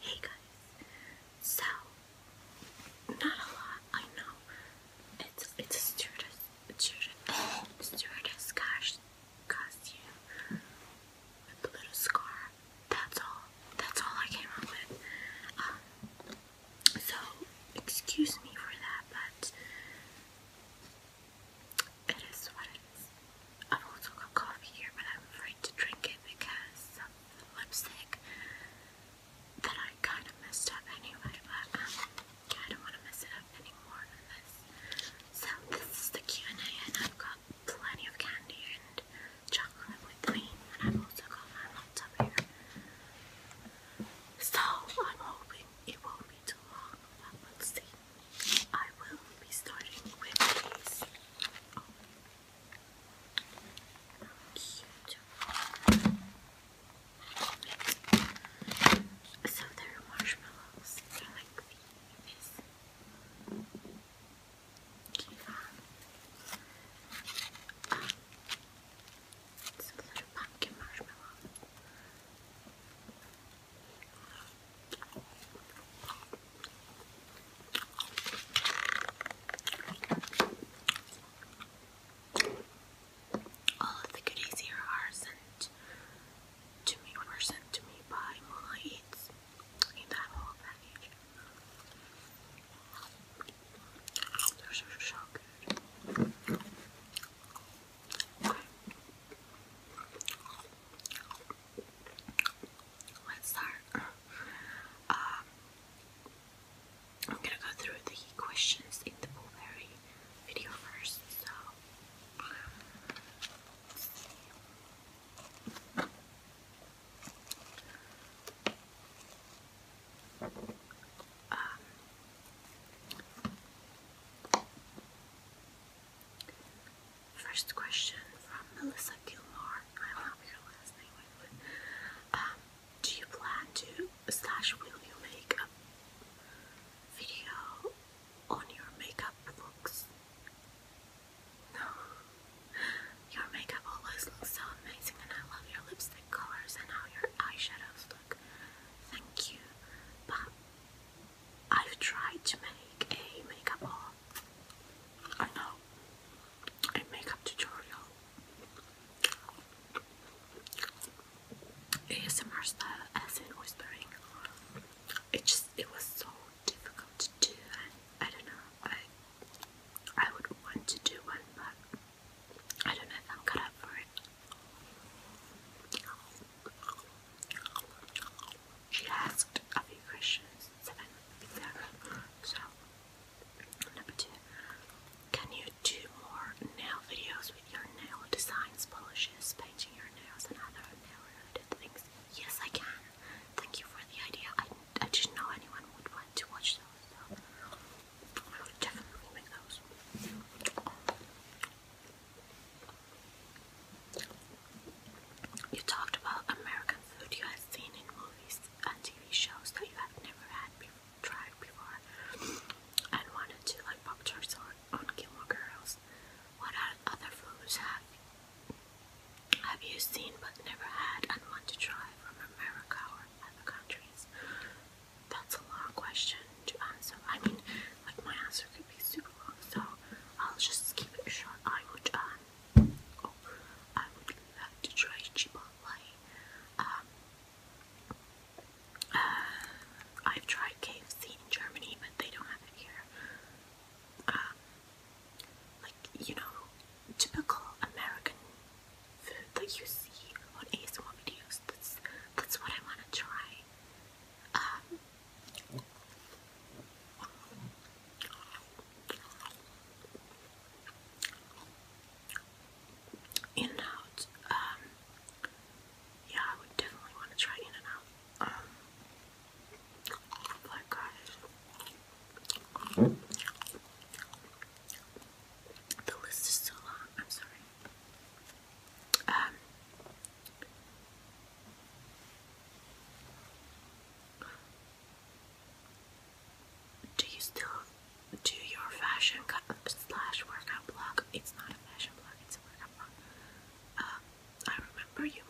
Hey guys, so not a lot, I know. It's it's a stewardess, stewardess, stewardess costume with a little scar. That's all. That's all I came up with. Um, so excuse me for that, but it is what I've also got coffee here, but I'm afraid to drink it because of the lipstick that I kind of messed up anyway, but um, I don't want to mess it up anymore than this. So this is the Q&A and I've got plenty of candy and chocolate with me and I've also got my laptop here. So I'm hoping it won't be too long, but we'll see. I will be starting with these. Oh, Cute. So they're marshmallows. They're like these. Um, it's a little all of the goodies here are sent to me, were sent to me by Mama Eats in that whole package. Those are so good let's start. Um, I'm gonna go through the questions in the Blueberry video first. So, um, First question from Melissa Gilmore. I don't have your last name, um, do you plan to slash will you make a video on your makeup looks? Your makeup always looks so amazing and I love your lipstick colors and how your eyeshadows look. Thank you. But I've tried to make a makeup haul. I know and makeup tutorial. ASMR style as whispering. It just it was so difficult to do and I don't know. I I would want to do one but I don't know if I'm cut up for it. She asked a few questions that I So, number two, can you do more nail videos with your nail designs, polishes, painting your nails, and other nail related things? Yes, I can. Thank you for the idea. I, I didn't know anyone would want to watch those, so I will definitely make those. You talked about American food you had seen in movies and TV shows that you had never had tried before and wanted to, like Pop Tarts or on Gilmore Girls. What other foods have have you seen but never had and want to try from America or other countries? That's a long question to answer. I mean, like my answer could be super long, so I'll just keep it short. I would um, I would like to try Chipotle. Um, uh, I've tried KFC in Germany, but they don't have it here. Um, like, you know, typical American food that you see on ASMR videos. That's, that's what I want to try. Um, in and um, yeah, I would definitely want to try In and um, guys, the list is so long. I'm sorry. Um, do you still do your fashion slash workout blog? It's not a fashion blog, it's a workout blog. Uh, I remember you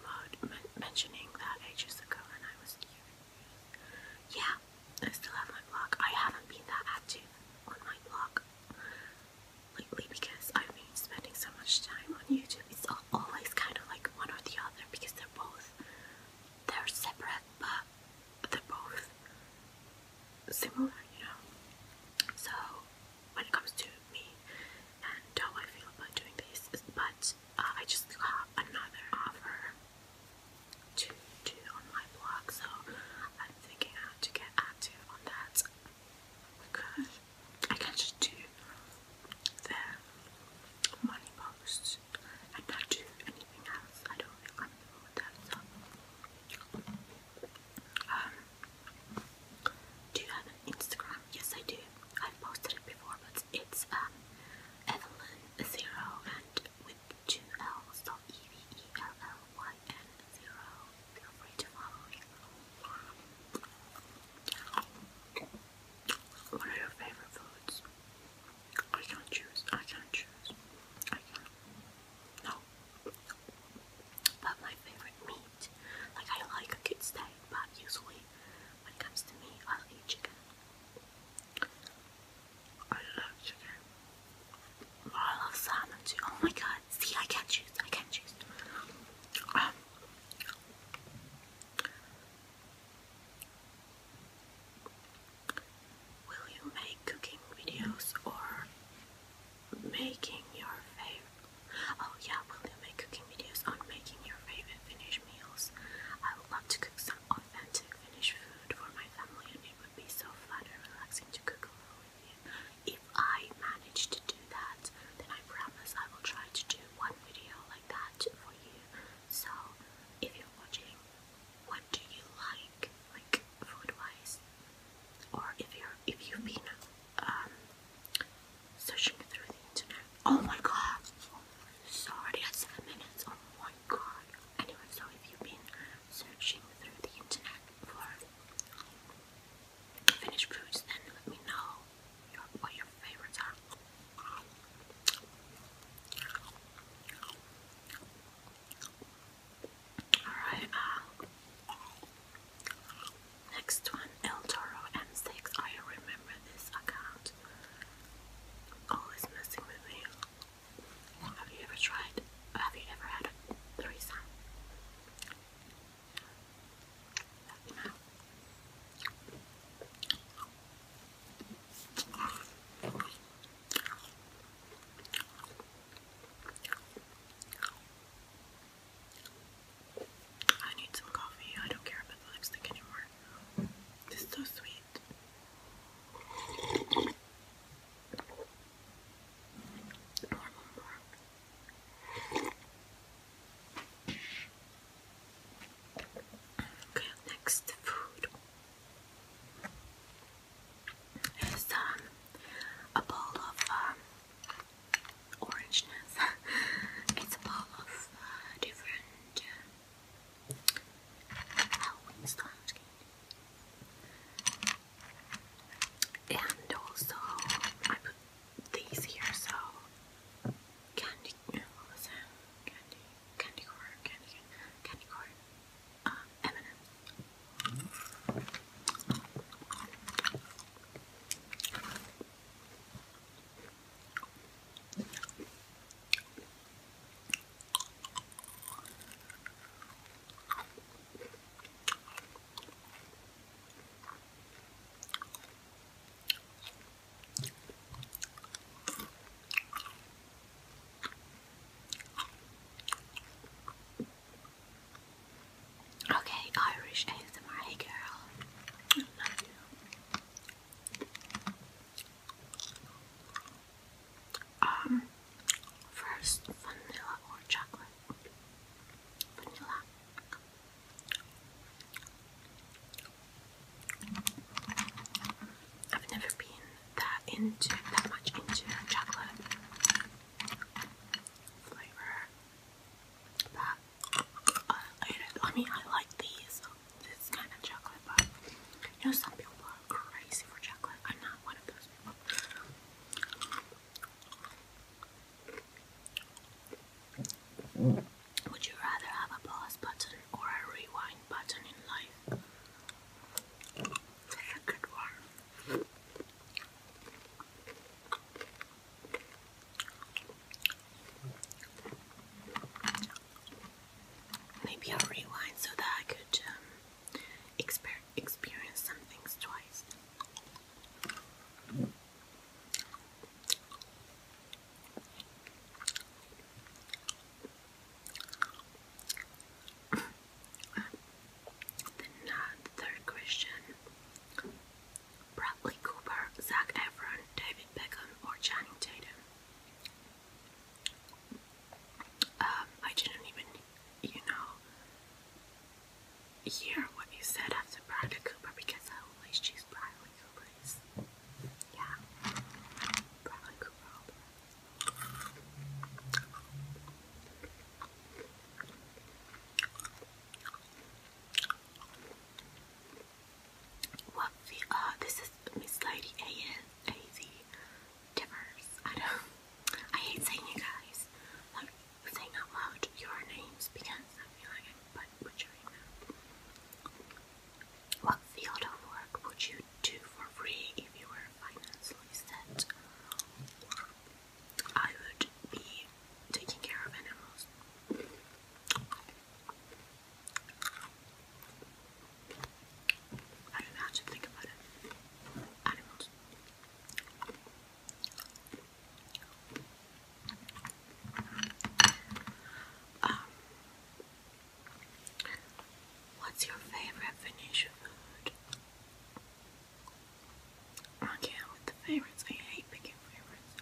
mentioning that ages ago, and I was curious. Yeah, I still have my blog. I haven't been that active on my blog lately because I've been spending so much time on YouTube. It's always kind of like one or the other because both they're separate but they're both similar, you know. So when it comes to me and how I feel about doing this, but uh, I just got another offer to do on my blog, so I'm thinking how to get active on that because I can just do the money posts and not do anything else. I don't feel comfortable um, do you have an Instagram? Yes, I do. I've posted it before, but it's um, Evelyn Zero and with two L's, so E V E L L Y N Zero. Feel free to follow What are your favorite foods? I can't choose. I can't choose. I can't. No. But my favorite meat, like I like a good steak, but usually when it comes to me, I'll eat chicken. I love chicken. But I love salmon too. Oh my god. See, I can't choose. I can't choose. Um, Will you make cooking videos or making your favorite? Oh, yeah, will you make cooking videos on making your favorite Finnish meals? I would love to cook some authentic Finnish food for my family, and it would be so fun and relaxing to cook along with you. If I manage to do that, then I promise I will try to do one video like that for you so, if you're watching, what do you like, like food-wise, or if you're if you've been um, searching through the internet? Oh my God! Sorry, at seven minutes. Oh my God! Anyway, so if you've been searching through the internet for finished foods, then let me know your, what your favorites are. Alright, uh, next one El Toro M6. I remember this account. Always oh, messing with me. Have you ever tried? Have you ever had a threesome? I need some coffee. I don't care about the lipstick anymore. This is so sweet. Okay, next food is um, a bowl of um, orangeness. it's a bowl of uh, different uh, Halloween style chicken. And also, I put these here so candy, you know, candy candy corn, candy corn, candy corn, um, M&M's. Okay, Irish ASMR, hey girl. I love Um, first vanilla or chocolate? Vanilla. I've never been that into that much into chocolate flavor. Uh, I, mean, I like these. This kind of chocolate, but you know, some people are crazy for chocolate. I'm not one of those people. Would you rather have a pause button or a rewind button in life? That's a good one. Maybe i rewind so that I could um, experience some things twice then uh, the third question Bradley Cooper, Zach Efron, David Beckham, or Channing Tatum? Um, I didn't even, you know, hear what you said after Bradley Cooper because I always choose Bradley yeah. Probably Google. What the uh this is Miss Lady A A Z Tippers. I don't I hate saying you guys. Like saying out loud your names because I feel like I'm but butchering them. What field of work would you do for free if you were financially set? I would be taking care of animals. I don't know how to think about it. Animals. Um, What's your favorite Venetian food? Okay, I'm with the favorites. I hate picking favorites.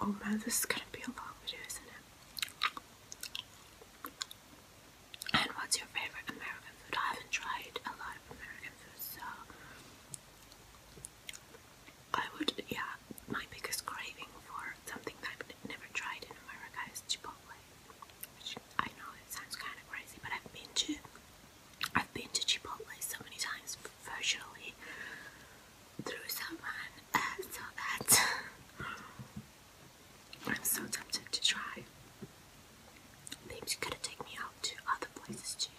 Oh man, this is gonna be a long video, isn't it? And what's your favorite American food? I haven't tried a lot of American food, so I would, yeah, my biggest craving for something that I've never tried in America is Chipotle, which I know it sounds kind of crazy, but I've been to, I've been to Chipotle so many times, virtually through someone, uh, so that I'm so tempted to try Babes, you could have taken me out to other places too,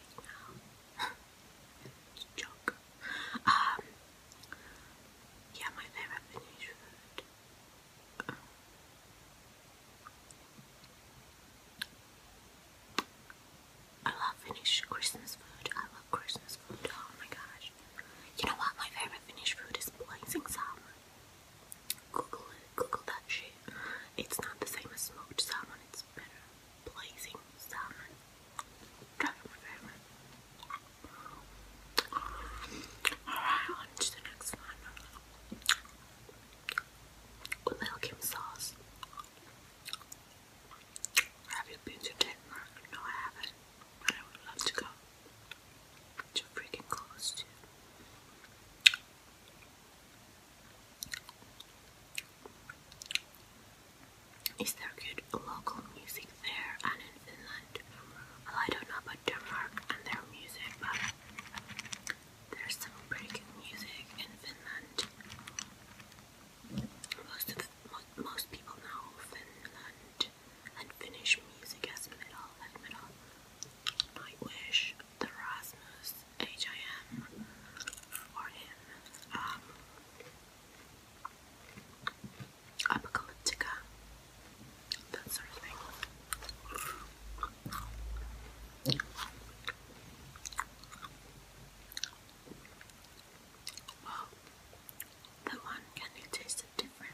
you joke. Um, yeah, my favorite Finnish food. I love Finnish Christmas food. I love Christmas food. Oh my gosh. You know what? My favorite Finnish food is blazing salmon. Google that shit. It's not the same as smoked salmon, it's better. Blazing salmon. Alright, on to the next one. Welcome sauce. Have you been to Denmark? No, I haven't. I would love to go. Too freaking close is there good local music there and in Finland? Well, I don't know about Denmark and their music, but there's some pretty good music in Finland. Most of most, people know Finland and Finnish music as metal, like metal, The Rasmus, H-I-M him. Um, that sort of thing. Well, that one kind of tasted different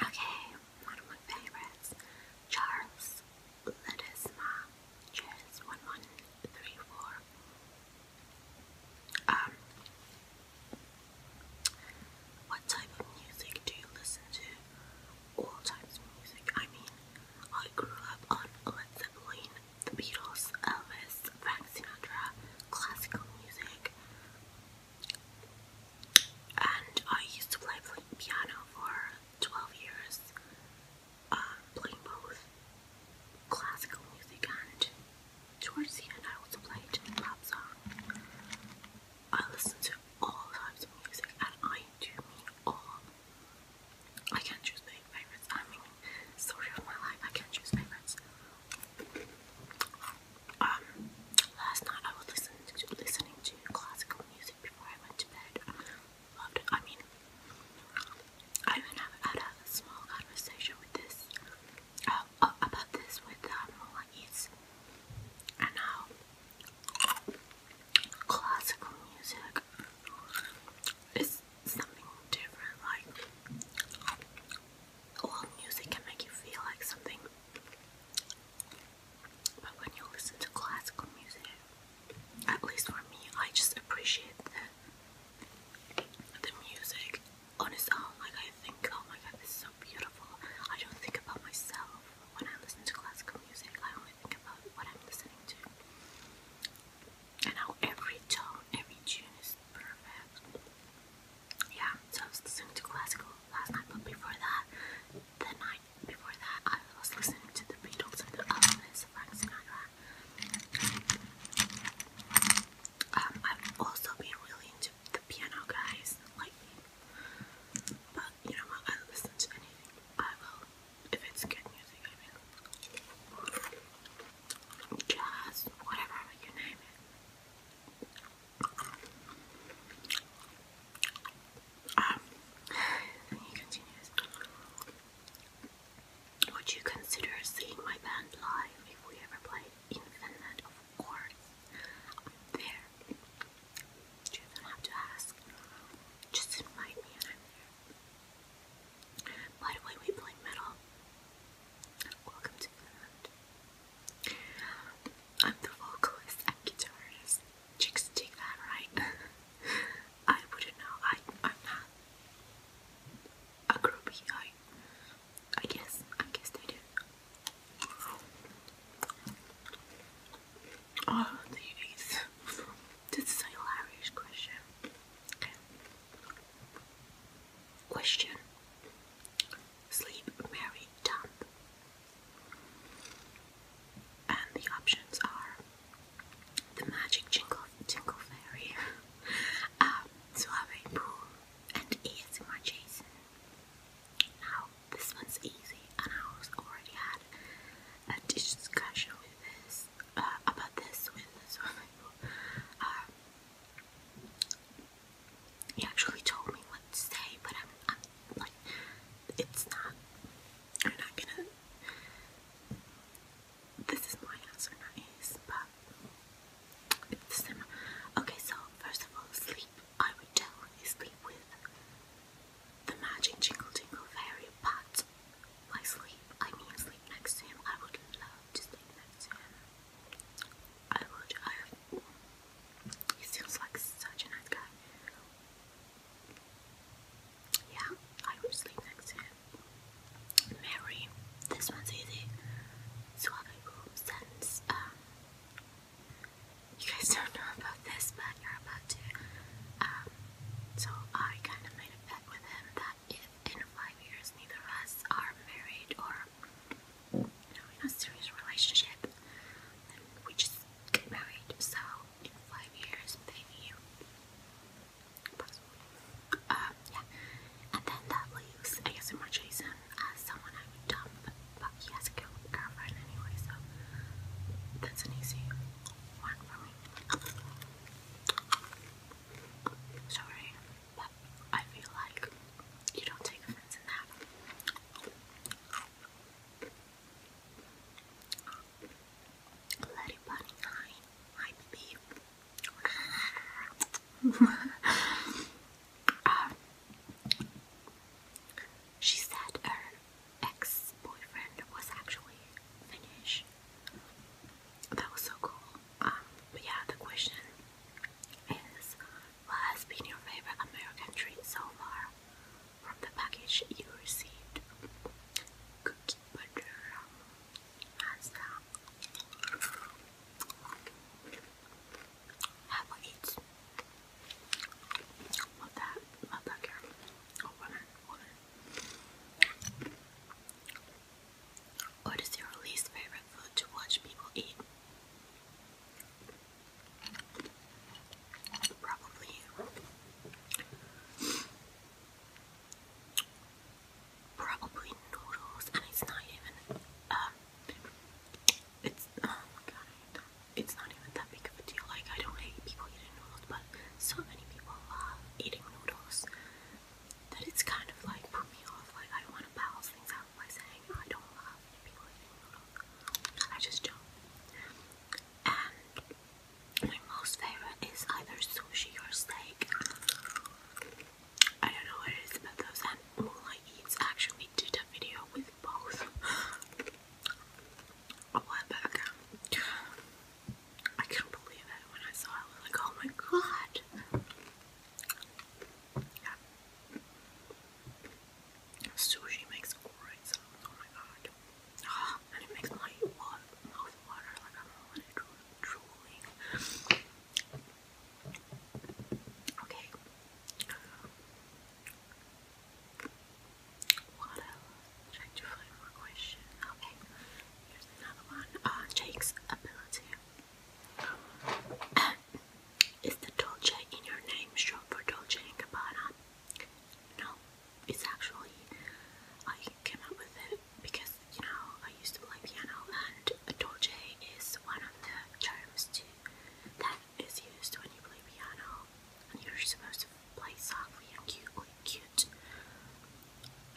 Okay, one of my favorites, Charles Ledesma, Charles one one three four. Um, what type of music do you listen to? All types music. I mean, I grew up on Led Zeppelin, The Beatles, Elvis, Frank Sinatra, classical music and I used to play piano for 12 years, um, playing both classical music and towards the end I also played pop song. I listen to all types of music and I do mean all. I can't choose my favorites. I mean, story of my life, I can't choose favorites. Um, last night I was listening to, classical music before I went to bed. Loved I mean, I even had a small conversation with this uh, about this with um, Mola and how classical music is something different. Like, all music can make you feel like something. But when you listen to classical music, at least for me, I just appreciate the, the music on its own. Like, I think, oh my god, this is so beautiful. I don't think about myself when I listen to classical music, I only think about what I'm listening to. And how every tone, every tune is perfect yeah, so I was listening to classical last night, but before that, the night before that, I was listening to the Beatles and the Elvis, Frank um, I've also been really into the piano guys lately, you know I listen to anything. I will if it's good music. I mean, jazz, whatever you name it. Would you consider seeing my band live if we ever play in Of course. I'm there. You don't have to ask. Just invite me and i we play metal. Welcome to Finland. I'm the vocalist and guitarist. Chicks take that, right? I wouldn't know. I, am not a groupie. I, guess. I guess they do. Oh, these. This is a hilarious question. Okay. Question. Sleep, marry, dump. And the options are the Magic Jingle, Jingle Fairy, um, Pool, and ASMR Jason. Now, this one's easy, and I was already had a discussion with this uh, about this with the Suave Pool. He actually told me what to say, but I'm, I'm like, it's not. I'm not gonna. This is my answer, not his, but it's similar. Okay, so first of all, sleep. I would definitely sleep with the magic jingle jingle fairy, but by sleep, I mean sleep next to him. I would love to sleep next to him. I would. He seems like such a nice guy. Yeah, I would sleep next to him. Mary, this one's easy. Um, you guys don't know about this, but you're about to. Um, so I kind of made a bet with him that if in five years neither of us are married or in a serious relationship, we just get married. So in five years, maybe, possibly, um, yeah. And then that leaves I guess more Jason as someone I would dump, but he has a girlfriend anyway, so that's an easy one for me. Sorry, but I feel like you don't take offense in that. Bloody Bunny 9, I believe. um, she said her ex boyfriend was actually Finnish. That was so cool. Um, but yeah, the question is what has been your favorite American treat so far from the package you received? Cookie butter. Hands down. Have oh, What is your least favorite food to watch people eat? Probably. noodles, and it's not even. Um, it's oh my god, it's not even that big of a deal. Like I don't hate people eating noodles, but so many people love eating noodles that it's kind of like put me off. Like I want to balance things out by saying I don't love people eating noodles. I just don't. And my most favorite is either sushi or steak. I don't know what it is about those, and Moonlight Eats actually did a video with both a while back. I couldn't believe it when I saw it. like, oh my god. Sushi makes great sounds, oh my god. and it makes my mouth water like I'm drooling. Okay. What else? Trying to find question. Okay, here's another one. Uh, Jake's ability. Is the Dolce in your name short for Dolce & Gabbana? No, it's actually, I came up with it because, you know, I used to play piano and Dolce is one of the terms that is used when you play piano and you're supposed to play softly and cutely, cute.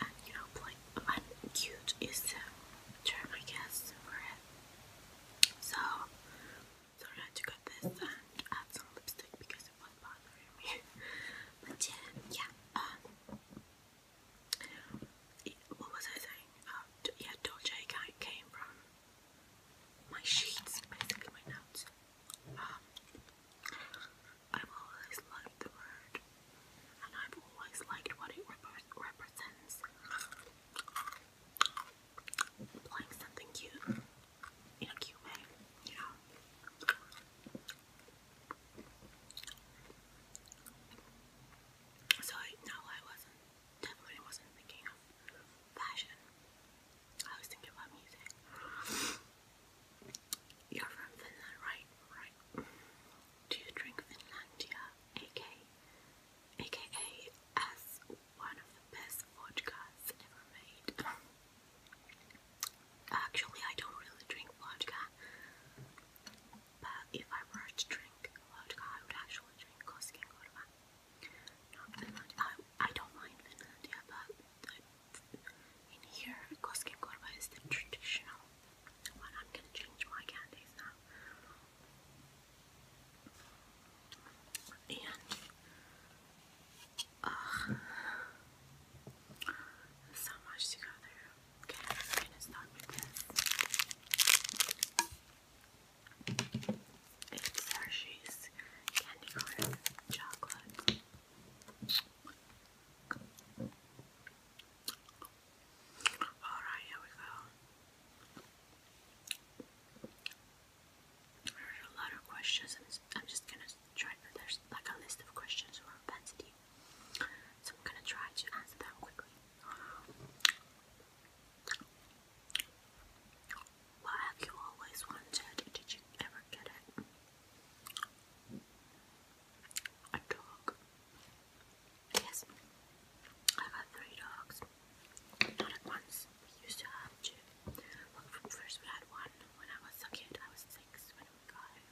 And, you know, play, and cute is the term, I guess, for it. So, Sorry I had to cut this and uh, add some lipstick because it was bothering me. but yeah, yeah. Um, what was I saying? Um, yeah, Dolce came from my sheets, basically my notes. Um, I've always liked the word, and I've always liked what it represents playing something cute in a cute way, you So no, I wasn't definitely wasn't thinking of fashion. I was thinking about music. You're from Finland, right? Right. Do you drink Finlandia, aka, aka as one of the best vodkas ever made. Actually, I don't really drink vodka, but if I were to drink vodka, I would actually drink Koskin Gorba. I, don't mind Finlandia, but in here, Koskin Gorba is the traditional one. I'm gonna change my candies now. And uh, so much to Okay, I'm gonna this. It's Hershey's candy corn chocolate. Alright, here we go a lot of questions. I'm just, gonna try. There's like a list of questions I'm gonna try to answer them quickly. What have you always wanted? Did you ever get it? A dog. Yes, I got three dogs. Not at once. We used to have two. first we had one when I was a kid. I was six when we got him.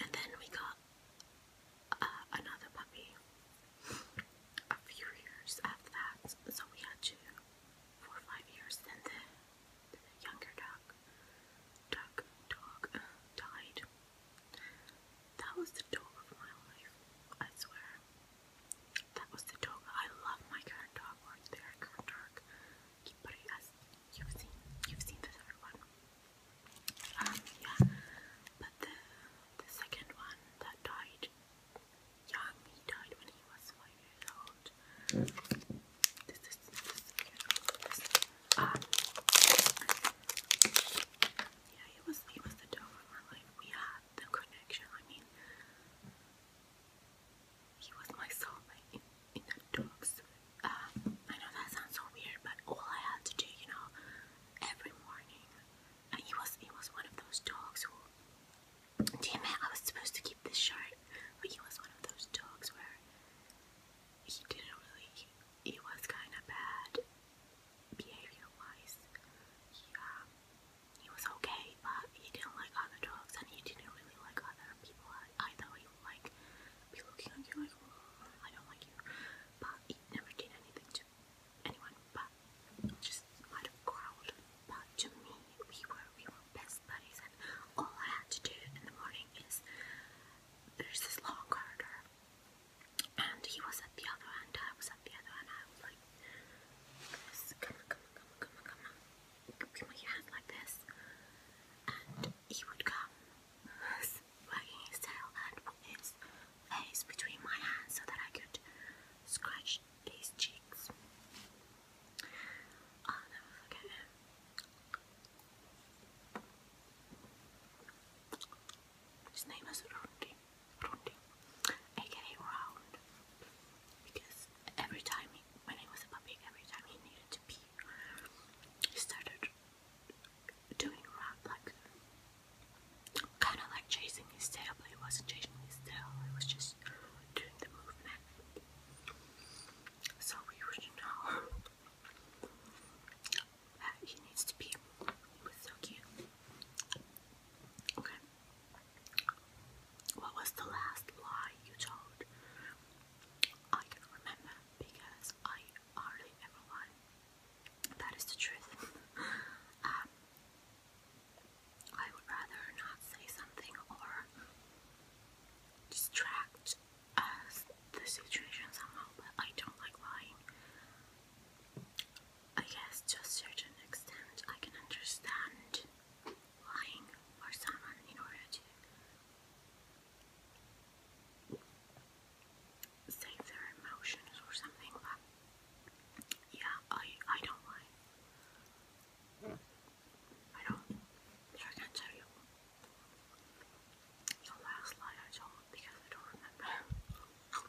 And then we got uh, another puppy a few years after that. So we had two, four five years. Then the, younger dog, dog, dog uh, died. That was the dog of my life, I swear. That was the dog. I love my current dog, or current dog. you've seen, you've seen the one. Um, yeah. But the the second one that died young, he died when he was five years old. This is this is um yeah, he was he was the dog of my life. We the connection. I mean, he was my soulmate in, the dogs. Uh, I know that sounds so weird, but all I had to do, you know, every morning, and uh, he was he was one of those dogs who. Damn it! I was supposed to keep this short, but he was one of those dogs where he didn't really. he was kind of bad behavior-wise, he, um, he was okay, but he didn't like other dogs, and he didn't really like other people either. He would like be looking at you like, mm, I don't like you, but he never did anything to anyone, but just out of crowd. But to me, we were we were best buddies, and all I had to do in the morning is there's this long corridor and he was at the other end, I was at the other end, I was like, come on, come on, come on, come on, come on, give me your hand like this, and he would come, wagging his tail and put his face between my hands so that I could scratch his cheeks. I'll oh, never forget him. His name is Rundi. Rondi, aka round, because every time he, when he was a puppy, every time he needed to pee, he started doing round like kind of like chasing his tail, but he wasn't chasing his tail, he was just doing the movement. So we would know that he needs to pee. He was so cute. Okay. What was the last lie you told? I can remember because I hardly ever lie. That is the truth. um, I would rather not say something or distract uh, the situation somehow, but I don't like lying. I guess to a certain extent I can understand lying for someone in order to save their emotions or something, but yeah, I I don't lie. I don't. I can't tell you the last lie I told because I don't remember.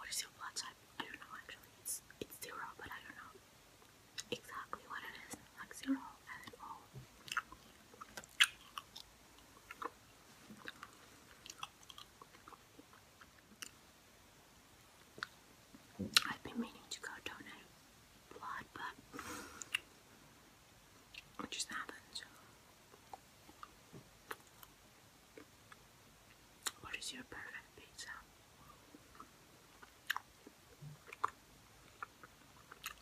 What is your blood type? I, don't know actually. It's zero, but I don't know exactly what it is. Like zero and then all. I've been meaning to go donate blood, but it just happened. What is your perfect pizza?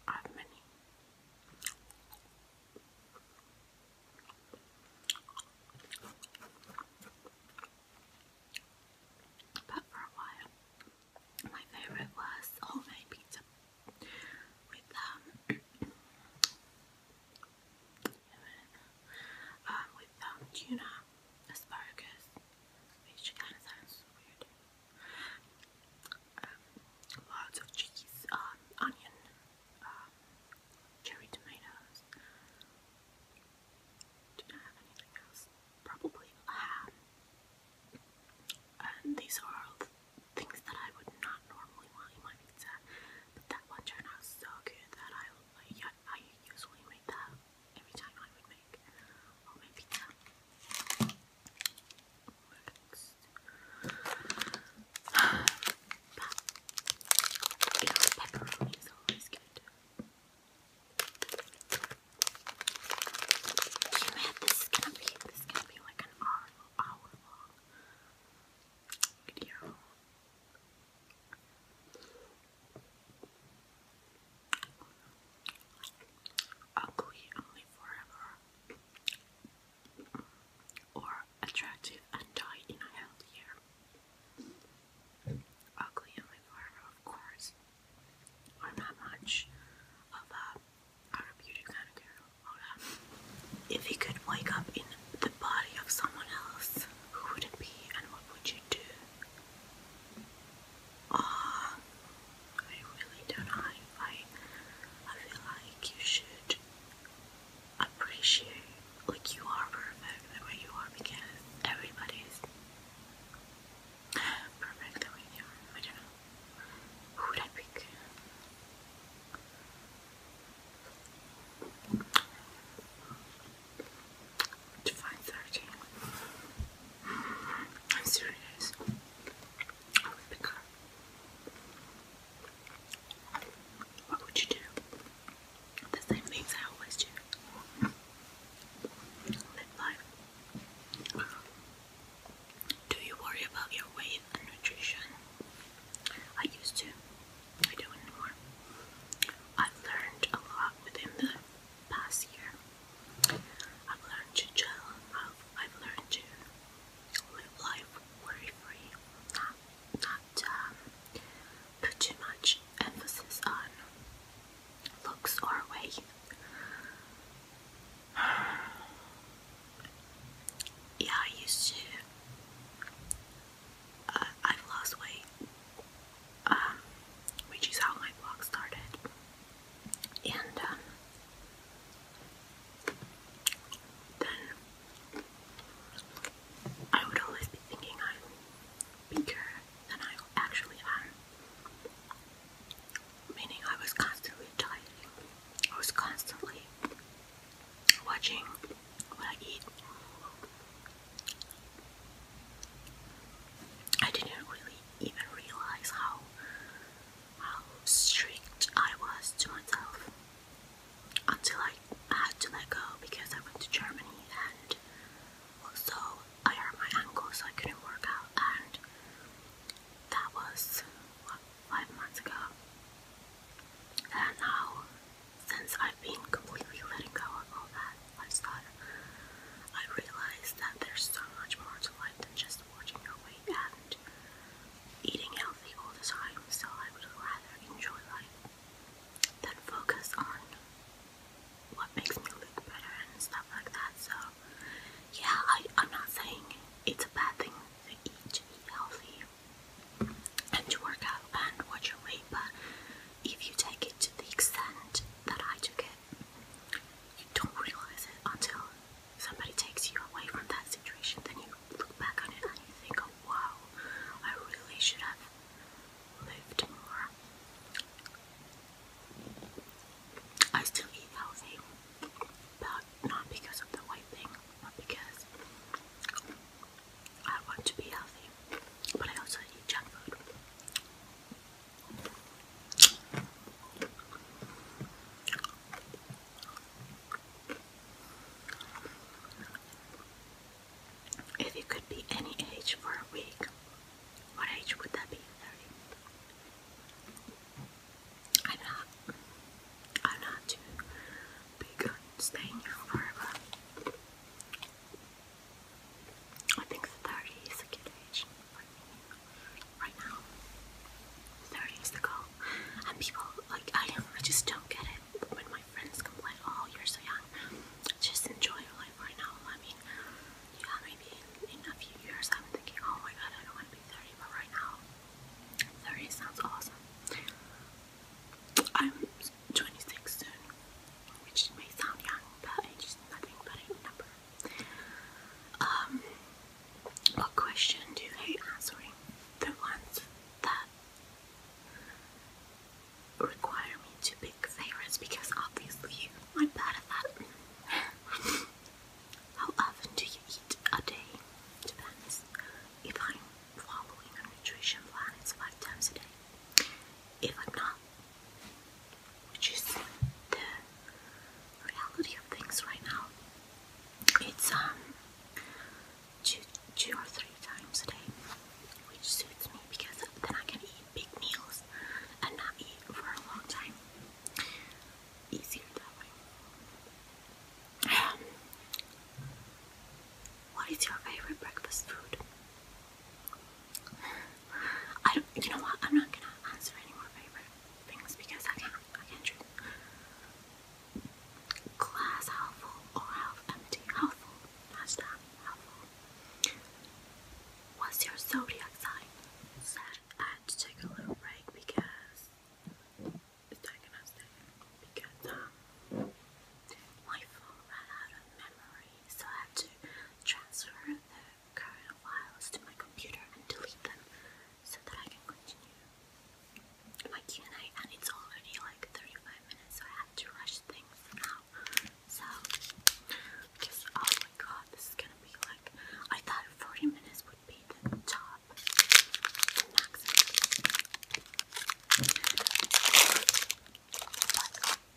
I have many. But for a while, my favorite was homemade pizza with um Um, then found um, tuna, asparagus, which kind of sounds weird. Um, lots of cheese, onion, cherry tomatoes. Do not have anything else. Probably these are things that I would not normally want my pizza, but that one turned out so good that I like, yeah, I usually make that every time I would make or pizza. pepperoni is always good. this is gonna be, this is gonna be like an hour long video. Ugly only forever, or attractive and die in a healthier. Ugly only forever, of course. I'm not much of a outer kind of girl. If he could wake up in the body of someone else, who would it be and what would you do? Ah, I really don't know. I, I feel like you should appreciate, like you are perfect the way you are because everybody's perfect the way they are. I don't know. Who would I pick? to 5.30. I'm serious. I would pick her. What would you do? The same things I always do. Live life. Do you worry about your weight and nutrition? I used to. I do anymore. I've learned a lot within the past year. I've learned to chill. I've, learned to live worry free, not, not um, put too much emphasis on looks or weight. Yeah, I used to I've lost weight, um, which is how my blog started. And um, then I would always be thinking I'm bigger than I actually am. Meaning I was constantly dieting. I was constantly watching what I eat. I didn't really even realize how how strict I was to myself until I had to let go because I went to Germany and also I hurt my ankle so I couldn't work out and that was what, five months ago and now since I've been completely letting go of all that lifestyle, I realized that there's so much more to life than just watching your weight and eating healthy all the time, so I would rather enjoy life than focus on what makes me look better and stuff like that. So, yeah, I, I'm not saying it's a bad thing to eat, to eat healthy and to work out and watch your weight, but if you take it to the extent that I took it, you don't realise it until somebody takes you away from that situation. Then you look back on it and you think, oh, wow, I really should have lived more. I still eat healthy, but not because of the white thing, but because I want to be healthy, but I also eat junk food. If you could be any age for a week, what age would that be? 30. I'm not. I'm not too big on staying here forever. I think 30 is a good age right now. 30 is the goal. And people, like, I I just don't get it when my friends complain, oh, you're so young. Just enjoy life right now. I mean, yeah, maybe in a few years I'm thinking, oh my god, I don't want to be 30, but right now, 30 sounds awesome. I'm 26 soon, which may sound young, but age is nothing but a number. Um, what question do you hate answering? The ones that require me to pick favorites because obviously I'm bad at that. How often do you eat a day? Depends. If i following a nutrition plan it's five times a day. If I'm not, which is the reality of things right now, it's um two, two or three times a day, which suits me because then I can eat big meals and not eat for a long time. Easier that way. Um, what is your favorite breakfast food? I don't. You know what? I'm not gonna answer any more favorite things because I can't. I can't choose. Glass half full or half empty? Half full. Hashtag half full. What's your zodiac sign? So I had to take a little break because it's taking us there because um, so I have to transfer the current files to my computer and delete them so that I can continue my Q&A and it's already like 35 minutes so I have to rush things now so just oh my god this is gonna be like I thought 40 minutes would be the top the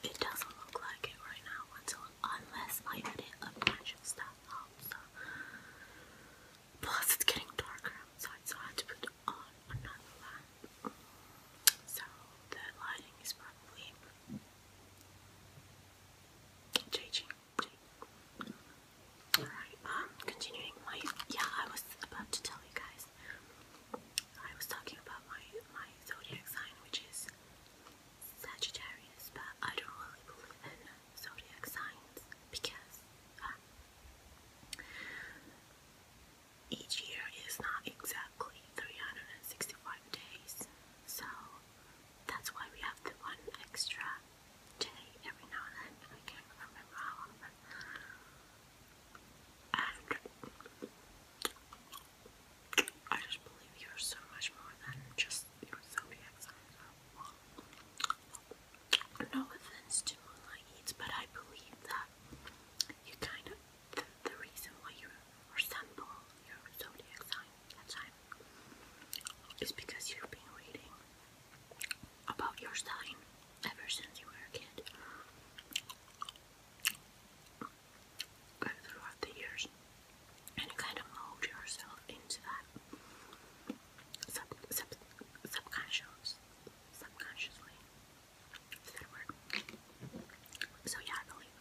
it doesn't look like it right now until unless I edit a of stuff up. So. Plus, it's getting darker outside, so I had to put on another lamp. So the lighting is probably changing. Alright, um, continuing my. Yeah, I was about to tell you guys I was talking about my my zodiac sign, which is Sagittarius, but I don't really believe in zodiac signs because um, each year is not exactly 365 days, so that's why we have the one extra day every now and then. I can't remember how and I just believe you're so much more than just your zodiac sign. No offense to Moonlight but I believe that you kind of the, reason why you resemble your zodiac sign is because you've been reading about your sign ever since you were a kid throughout the years and you kind of mold yourself into that sub, sub, subconsciously. Is that a So, yeah, I believe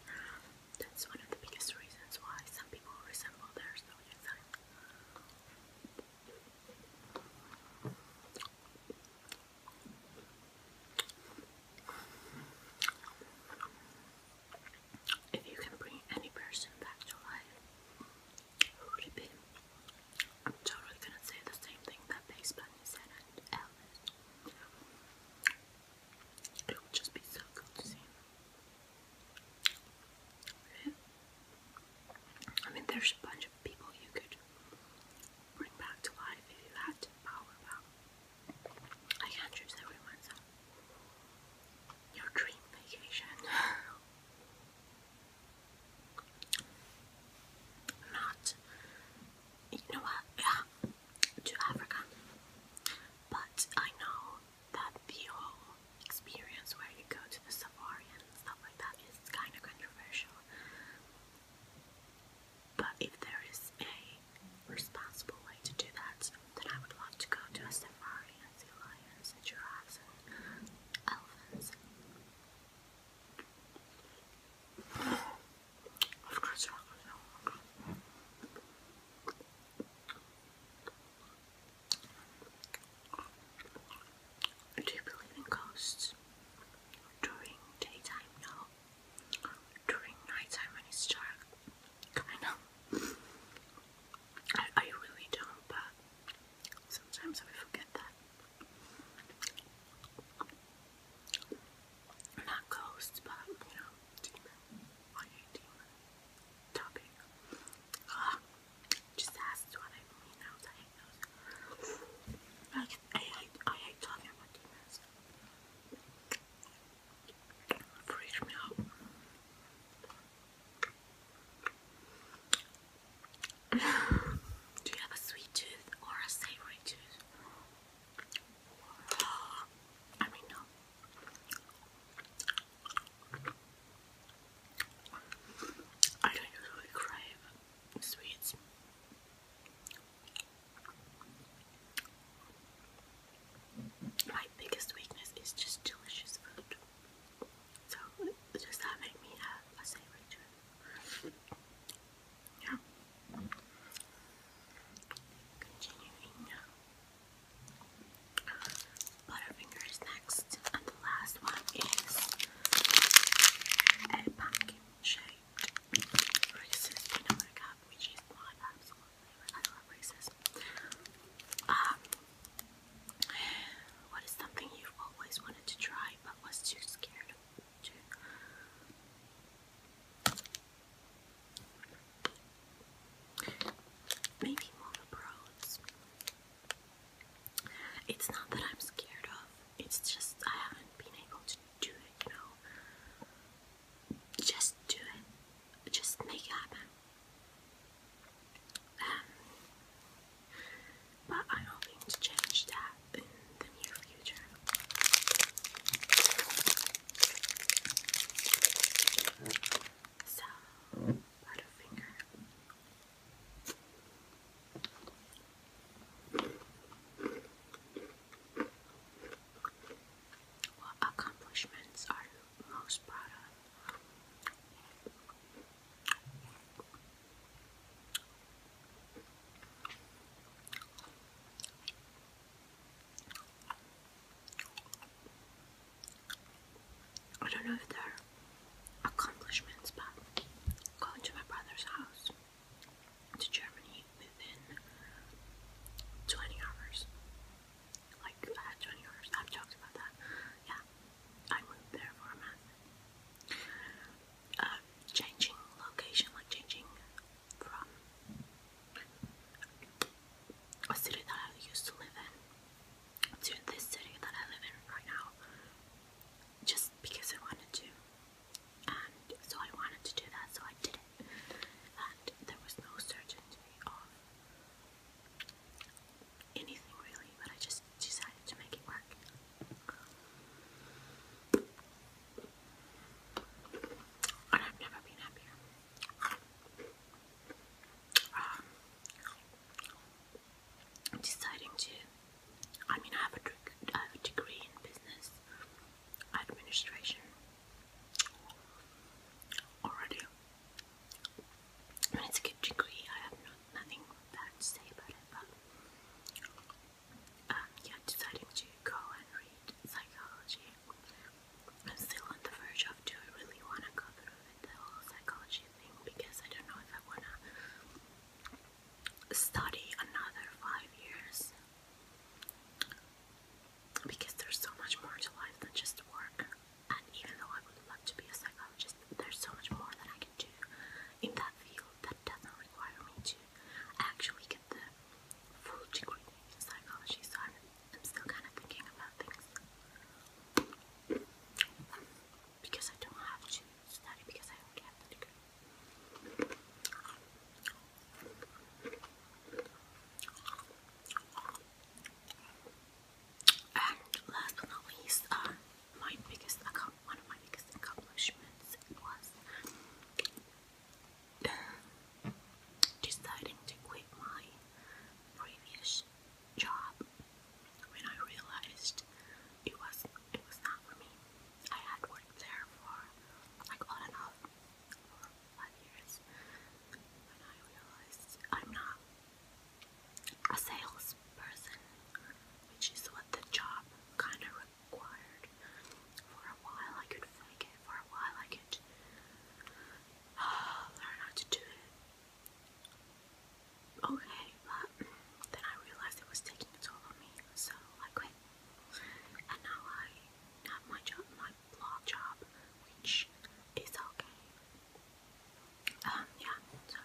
that's one of the biggest reasons why some people resemble their zodiac if you can bring any person back to life, I'm totally gonna say the same thing that Base Bunny said and It would just be so cool to see. I mean, there's a bunch of people you could bring back to life if you had power about. I can't choose everyone's so. your dream vacation. Not you know what yeah to Africa. But I know that the whole experience where you go to the safari and stuff like that is kinda controversial. But if there is a responsible way to do that, then I would love to go to a safari and see lions and giraffes and elephants. Of course, not do you believe in ghosts during daytime? No, during nighttime when it's dark. Kinda. I, really don't, but sometimes I forget that. Not ghosts, but you know, demon. I hate ah, talking about demons freaks me out. Do you have a sweet tooth or a savory tooth? I mean, no. I don't usually crave sweets. My biggest weakness is just delicious food. So does that make me a, a Yeah. Continuing Butterfinger is next, and the last one is a pumpkin shaped Reese's peanut butter I um, what is something you've always wanted to try but was too scared to? Maybe move abroad. It's not that I'm scared of. It's just I haven't been able to do it, you Just do it. Just make it happen. Um, but I'm hoping to change that in the near future. So, Butterfinger. What accomplishments are you most proud of? I don't know if they're accomplishments, but going to my brother's house to Germany within 20 hours. Like, 20 hours. I've talked about that. Yeah, I moved there for a month. Uh, changing location, like changing from a city that I used to live in to this city that I live in right now, just because I wanted to and so I wanted to do that, so I did it, and there was no certainty of anything really, but I just decided to make it work. And I've never been happier. Um, deciding to, I mean, I have a degree in business, administration already. And it's a degree, I have nothing bad to say about it, but um, yeah, deciding to go and read psychology. I'm still on the verge of do I really want to go through the whole psychology thing because I don't know if I want to study another five years because there's so much more to life than just work. And even though I would love to be a psychologist, there's so much more that I can do in that field that doesn't require me to actually get the full degree in psychology. So I'm, still kind of thinking about things. Because I don't have to study because I already have the degree. And last but not least, uh, my biggest one of my biggest accomplishments was uh, deciding to quit my previous job when I realized it was it was not for me. I had worked there for like on and off for five years when I realized I'm not a salesperson, which is what the job kind of required. For a while, I could fake it. For a while, I could learn how to do it. Okay, but then I realized it was taking a toll on me, so I quit and now I have my job, my blog job, which is okay. Um, yeah, so.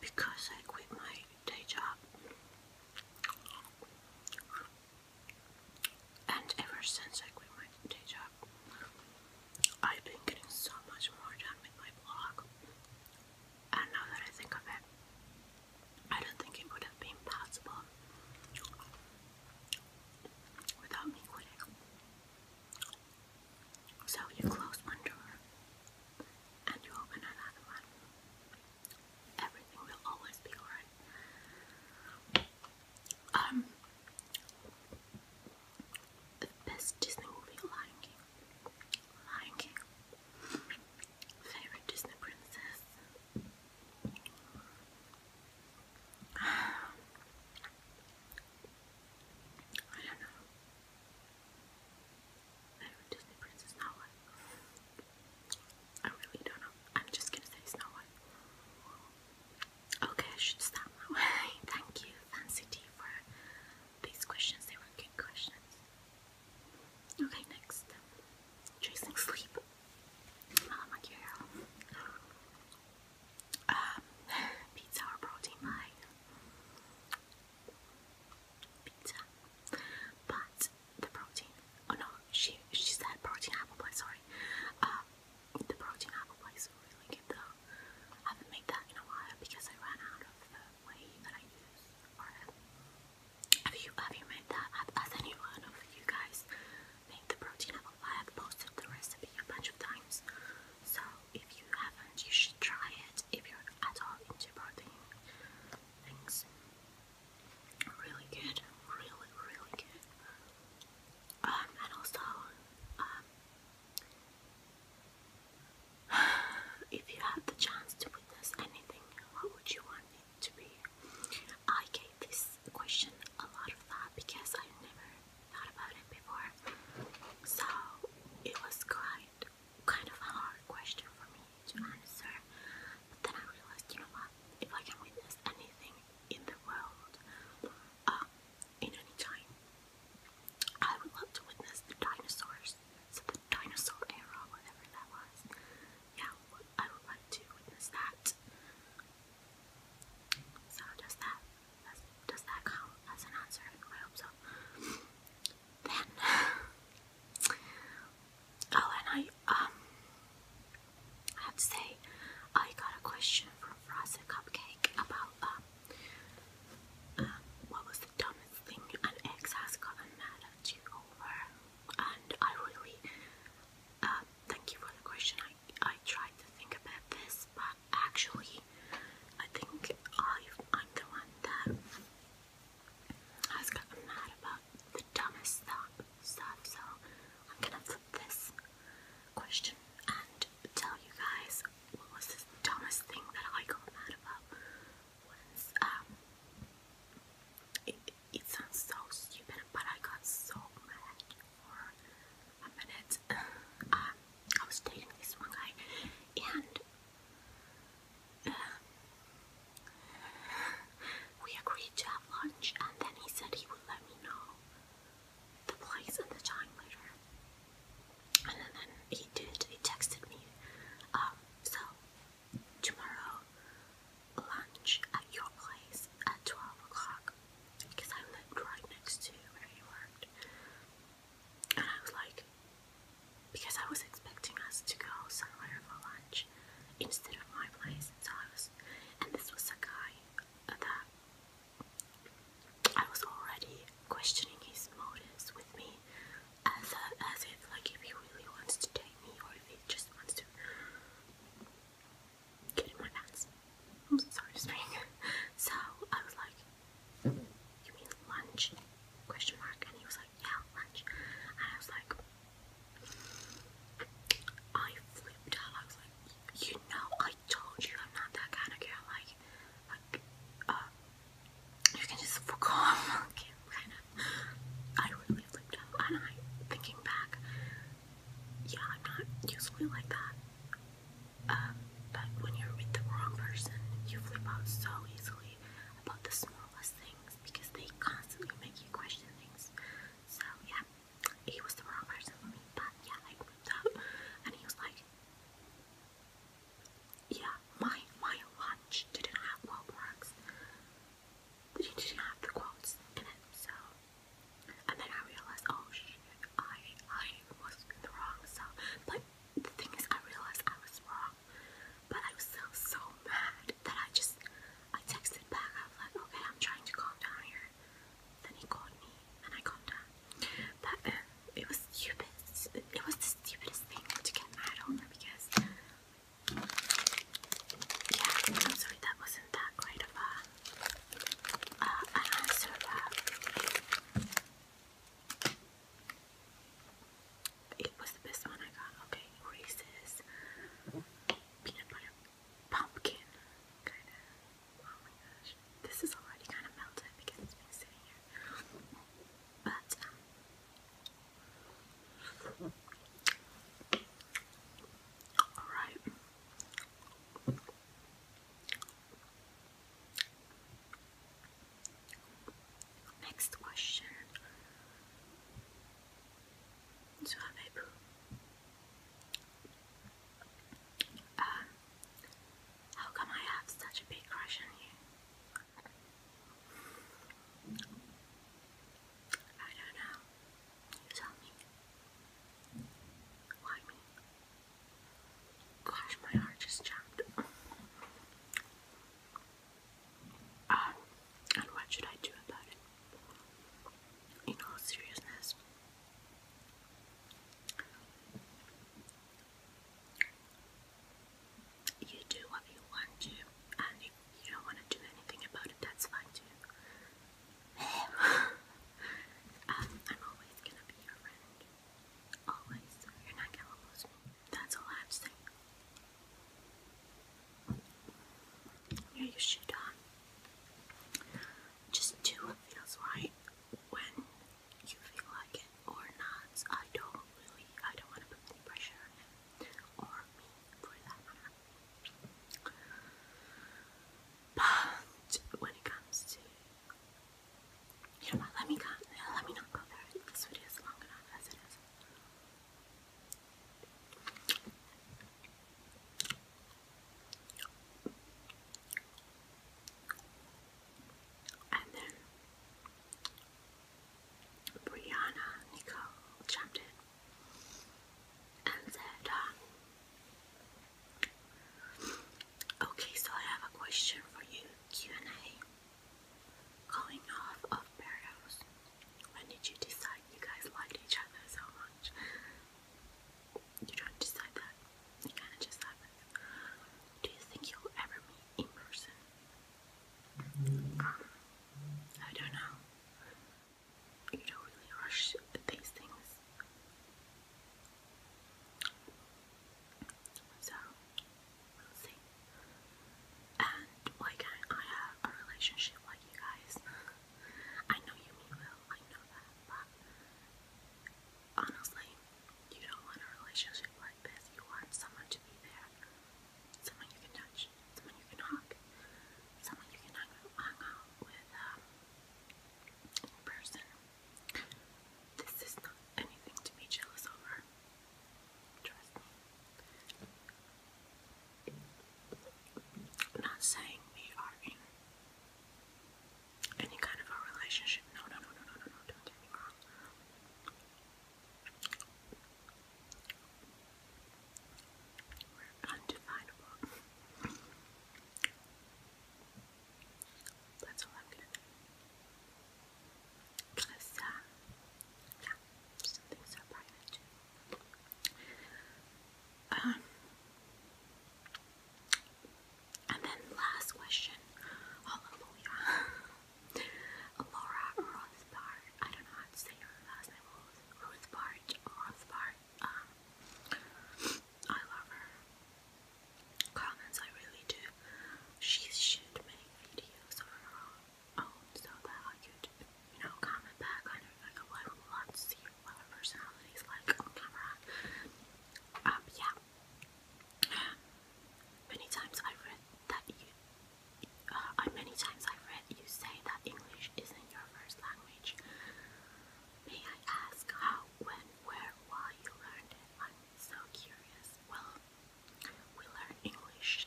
Because I quit my day job, and ever since I quit my day job, I've been getting so much more done with my blog, and now that I think of it, I don't think it would have been possible without me quitting. So you close one door and you open another one. Everything will always be alright. Um, the best Disney movie, Lion King. Lion King. Favorite Disney princess. Um, I don't know. Favorite Disney princess, Snow White. I really don't know. I'm just gonna say Snow White. Okay, I should stop now. Thank you, Fancy Tea, for these questions. They were good questions. Okay, next. Chasing sleep. Mama like Um, pizza or protein pie? Pizza. But the protein. Oh no, she she said protein apple Sorry. Um, the protein apple pies are really good though. haven't made that in a while because I ran out of the way that I use Have you have you made that? Has anyone of you guys made the protein apple pie? I've posted the recipe a bunch of times. So if you haven't, you should try it if you're at all into protein things. Really good, really, really good. Um, and also, um, If you had the chance to witness anything, what would you want it to be? I gave this question a lot of thought because I never thought about it before. So it was quite kind of a hard question for me to answer. But then I realized, you know what? If I can witness anything in the world, uh, in any time. I would love to witness the dinosaurs, so the dinosaur era, whatever that was. Yeah, I would like to witness that. So does that does, does that count as an answer? I hope so. Then, oh, and I um, I have to say, I got a question from Frosted Cupcake about um um, what was the dumbest thing an ex has gotten mad at you over? And I really um, thank you for the question. I I tried to think about this, but actually, I think i I'm the one that has gotten mad about the dumbest stuff. Stuff. So I'm gonna flip this question and tell you guys what was this dumbest thing that I got mad about was um, it, sounds so stupid but I got so mad for a minute. Um, I was dating this one guy and uh, we agreed to have lunch and then he said he would let me know the place and the time later. And then, he did, he texted me, um, so tomorrow lunch at your place at 12 o'clock because I lived right next to where he worked. And I was like, because I was expecting us to go somewhere for lunch instead of my place. So I was, and this was a guy that I was already questioning his motives with me, as uh, as if like if he really wants to take me or if he just wants to get in my pants. I'm sorry, to spring. So I was like, "You mean lunch?" Question mark. And he was like, "Yeah, lunch." And I was like, I flipped out. I was like, "You know, I I told you I'm not that kind of girl. Like, like uh, you can just fuck off. okay, kind of. I really flipped out, and I, thinking back, yeah, I'm not usually like that. Um, but when you're with the wrong person, you flip out so easily about the smallest things because they constantly make you question things. So yeah, he was the wrong person for me, but yeah, I flipped out, and he was like, yeah, my my watch didn't have well marks. It didn't have the quotes in it, so and then I realized oh shit, I I was wrong so but the thing is I realized I was wrong. But I was still so mad that I just I texted back, I was like, okay, I'm trying to calm down here. Then he called me, and I calmed down. But um, it was stupid. It was the stupidest thing to get mad over because, yeah, I'm sorry that wasn't that great a uh, answer. it was the best one I got. Okay, Reese's peanut butter pumpkin Oh my gosh. This is already kind of melted because it's been sitting here. But, um, alright. Next question. So, I may um, how come I have such a big crush on you? I don't know. You tell me. Why me? Gosh, my heart just jumped. Um, and what should I do about it? In all seriousness, you do what you want to, and if you don't want to do anything about it, that's fine too. Um, I'm always gonna be your friend. Always. You're not gonna lose me. That's all I say. Yeah, you should, um, just do what feels right when you feel like it or not. I don't really, I don't want to put any pressure on him me for that But when it comes to, you know Let me come, let me not go there. This video is long enough as it is. And then Brianna Nicole jumped in and said, um, "Okay, so I have a question for you, Q and A. Going off of Barrios, when did you decide you guys liked each other so much? You don't decide that. It kind of just happens. Do you think you'll ever meet in person? I don't know. You don't really rush these things. So, we'll see. And why can't I have a relationship like you guys? I know you mean well, I know that, but honestly, you don't want a relationship like this. You want someone to be there, someone you can touch, someone you can hug, someone you can hang, out with um, person. This is not anything to be jealous over. Trust me. not saying we are in any kind of a relationship. No, no, no, no, no, no, no, don't get me wrong. we That's all I'm gonna do. yeah, some things private Um, and then last question. Hallelujah. Laura Rothbard. I don't know how to say her last name. Rothbard. Rothbard. Um, I love her comments. I really do. She should make videos on her own so that I could, you know, comment back on her. Like, I would love to see what her like on camera. Um, yeah. Many times I've read that you. Uh, many times I've read you say that English isn't your first language. May I ask how, when, where, why you learned it? I'm so curious. Well, we learn English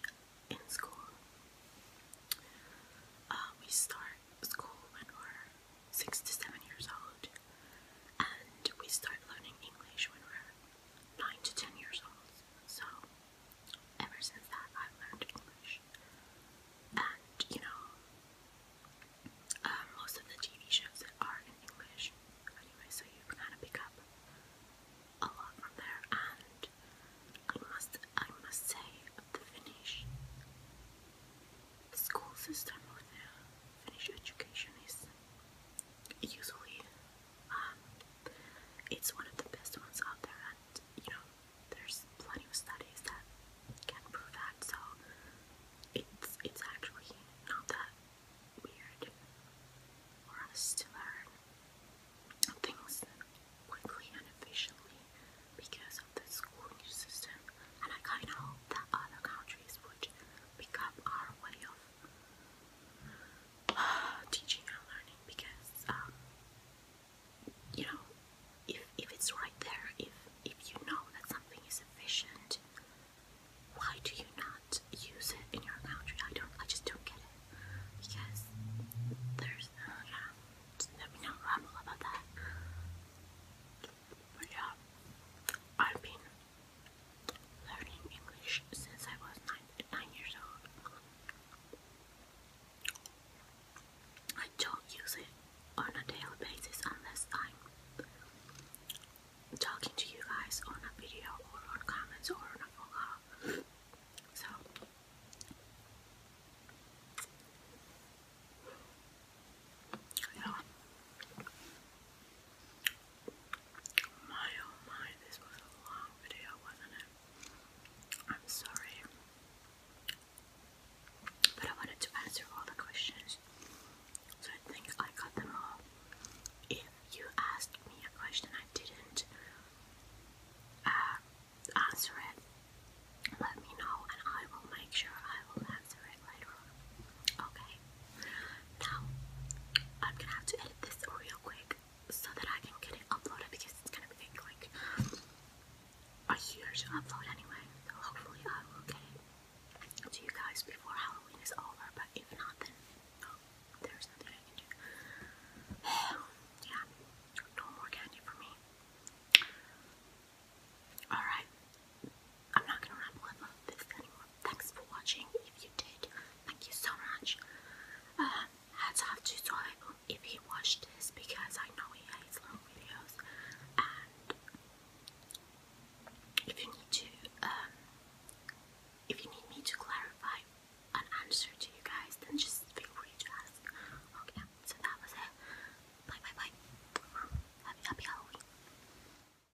in school. Uh, we start school when we're six to seven years old and we start learning English when we're nine to ten years old. So ever since that, I've learned English, and you know, uh, most of the TV shows that are in English, anyway. So you kind of pick up a lot from there, and I must, I must say, the Finnish school system or the Finnish education is usually um, it's one of the best ones out there and you know there's plenty of studies that can prove that so it's it's actually not that weird for us to learn things quickly and efficiently because of the schooling system and I kinda hope that other countries would become our way of uh, teaching and learning because um, you know if, if it's right there if if you know that something is efficient why do you not use it in your country I don't I just don't get it because there's uh, yeah let me not ramble about that yeah I've been learning English since I was nine, years old. I don't use it on a daily basis unless I'm talking to you guys on a video or on comments or on a phone call. So yeah. My oh my, this was a long video, wasn't it? I'm sorry. But I wanted to answer all the questions. So I think I got them all. If you asked me a question I didn't uh, answer it, let me know and I will make sure I will answer it later Okay? Now I'm gonna have to edit this real quick so that I can get it uploaded because it's gonna be like a year to upload anyway. So hopefully I will get it to you guys before Halloween is over. But if not, then oh, there's nothing I can do. yeah, no more candy for me. Alright, I'm not gonna ramble about this anymore. Thanks for watching. If you did, thank you so much. Um, hats off to Soibo if he watched this because I know he hates long videos. And if you need to, um, if you need me to clarify an answer to you guys, then just feel free to ask. Okay, so that was it. Bye bye bye. Happy, happy Halloween.